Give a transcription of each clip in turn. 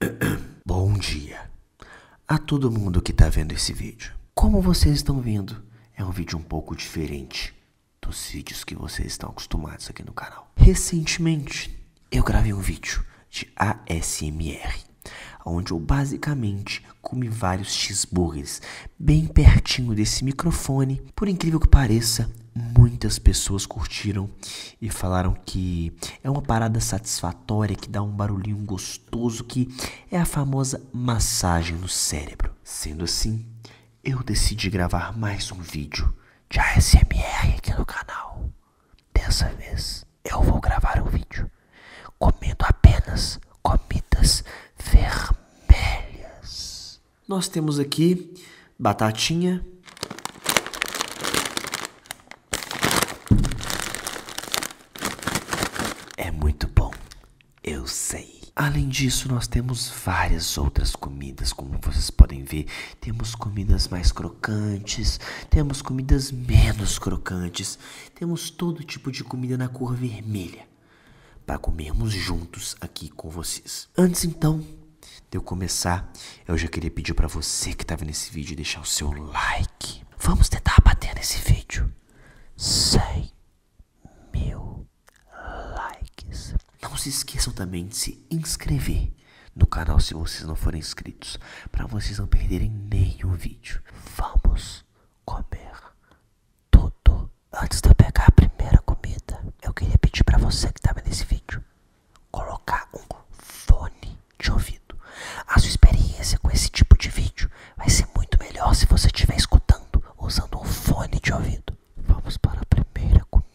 Bom dia a todo mundo que está vendo esse vídeo. Como vocês estão vendo, é um vídeo um pouco diferente dos vídeos que vocês estão acostumados aqui no canal. Recentemente, eu gravei um vídeo de ASMR, onde eu basicamente come vários cheeseburgers bem pertinho desse microfone. Por incrível que pareça, muitas pessoas curtiram e falaram que é uma parada satisfatória que dá um barulhinho gostoso que é a famosa massagem no cérebro. Sendo assim, eu decidi gravar mais um vídeo de ASMR aqui no canal. Dessa vez, eu vou gravar um vídeo comendo apenas comidas vermelhas. Nós temos aqui batatinha. É muito bom, eu sei. Além disso, nós temos várias outras comidas, como vocês podem ver. Temos comidas mais crocantes, temos comidas menos crocantes temos todo tipo de comida na cor vermelha para comermos juntos aqui com vocês. Antes então de eu começar, eu já queria pedir para você que tá estava nesse vídeo deixar o seu like. Vamos tentar bater nesse vídeo 100 mil likes. Não se esqueçam também de se inscrever no canal se vocês não forem inscritos, para vocês não perderem nenhum vídeo. Vamos comer tudo. Antes de eu pegar a primeira comida, eu queria pedir para você que tá vendo esse vídeo colocar um fone de ouvido. A sua experiência com esse tipo de vídeo vai ser muito melhor se você estiver escutando usando um fone de ouvido. Vamos para a primeira comida.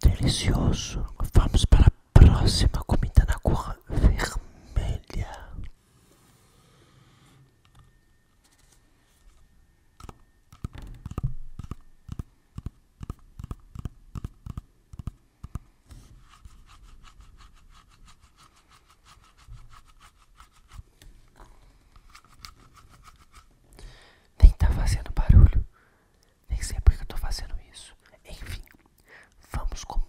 Delicioso. Vamos para a próxima comida na cor vermelha. Nem está fazendo barulho. Nem sei porque eu estou fazendo isso. Enfim, vamos comer.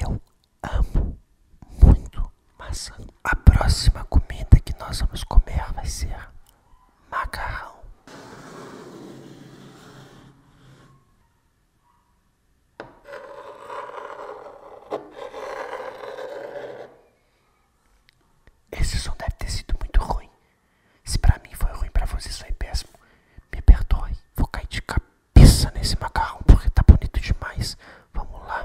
Eu amo muito maçã. A próxima comida que nós vamos comer vai ser macarrão. Esse som deve ter sido muito ruim. Se pra mim foi ruim, pra você foi péssimo. Me perdoe. Vou cair de cabeça nesse macarrão porque tá bonito demais. Vamos lá.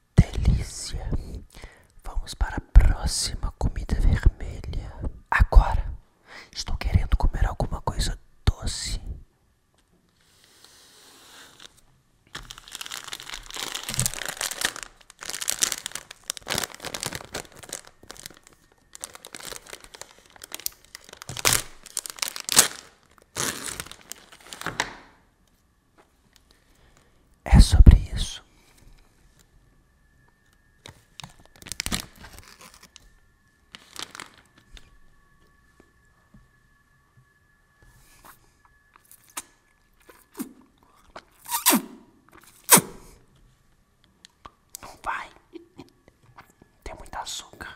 delícia. Vamos para a próxima comida vermelha. Agora, estou querendo comer alguma coisa doce. É sobre isso. Não vai. Tem muito açúcar.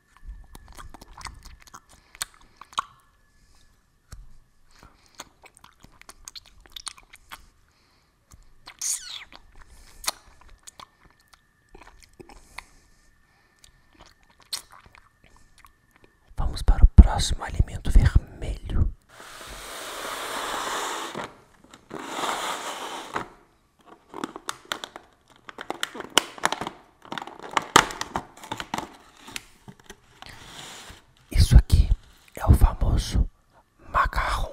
Vamos para o próximo alimento vermelho. Isso aqui é o famoso macarrão.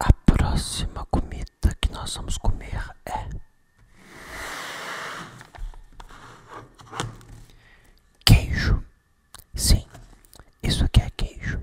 A próxima comida que nós vamos comer é queijo. Sim, isso aqui é queijo.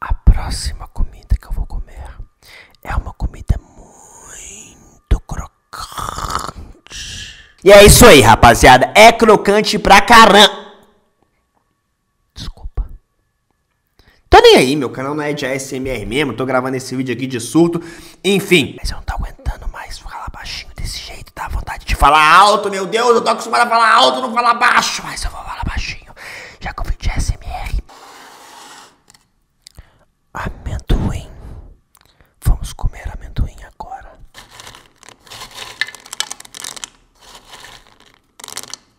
A próxima comida que eu vou comer é uma comida muito crocante. E é isso aí, rapaziada. É crocante pra caramba. Desculpa. Tô tá nem aí, meu canal não é de ASMR mesmo, tô gravando esse vídeo aqui de surto, enfim. Mas eu não tô aguentando mais falar baixinho desse jeito, tá? vontade de falar alto, meu Deus, eu tô acostumado a falar alto, não falar baixo, mas eu vou falar baixinho, já que o vídeo é ASMR. Amendoim. Vamos comer amendoim agora.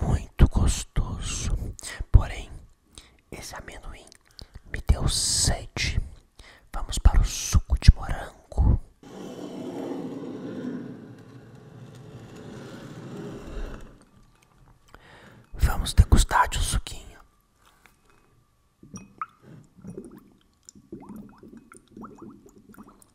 muito gostoso. Porém, esse amendoim me deu sede. Vamos para o suco de morango. Vamos degustar de um suquinho.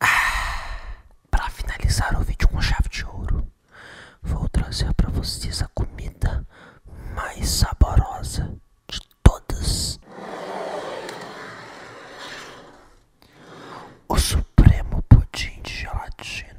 Ah, para finalizar o vídeo com chave de ouro, vou trazer para vocês a comida mais saborosa de todas. O supremo pudim de gelatina.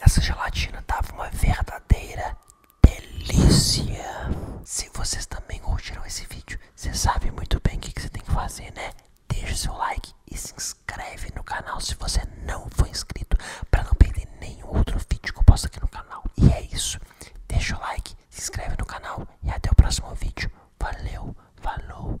Essa gelatina tava uma verdadeira delícia. Se vocês também curtiram esse vídeo, vocês sabem muito bem o que, você tem que fazer, né? Deixe seu like e se inscreve no canal se você não for inscrito para não perder nenhum outro vídeo que eu posto aqui no canal. E é isso. Deixe o like, se inscreve no canal e até o próximo vídeo. Valeu, falou.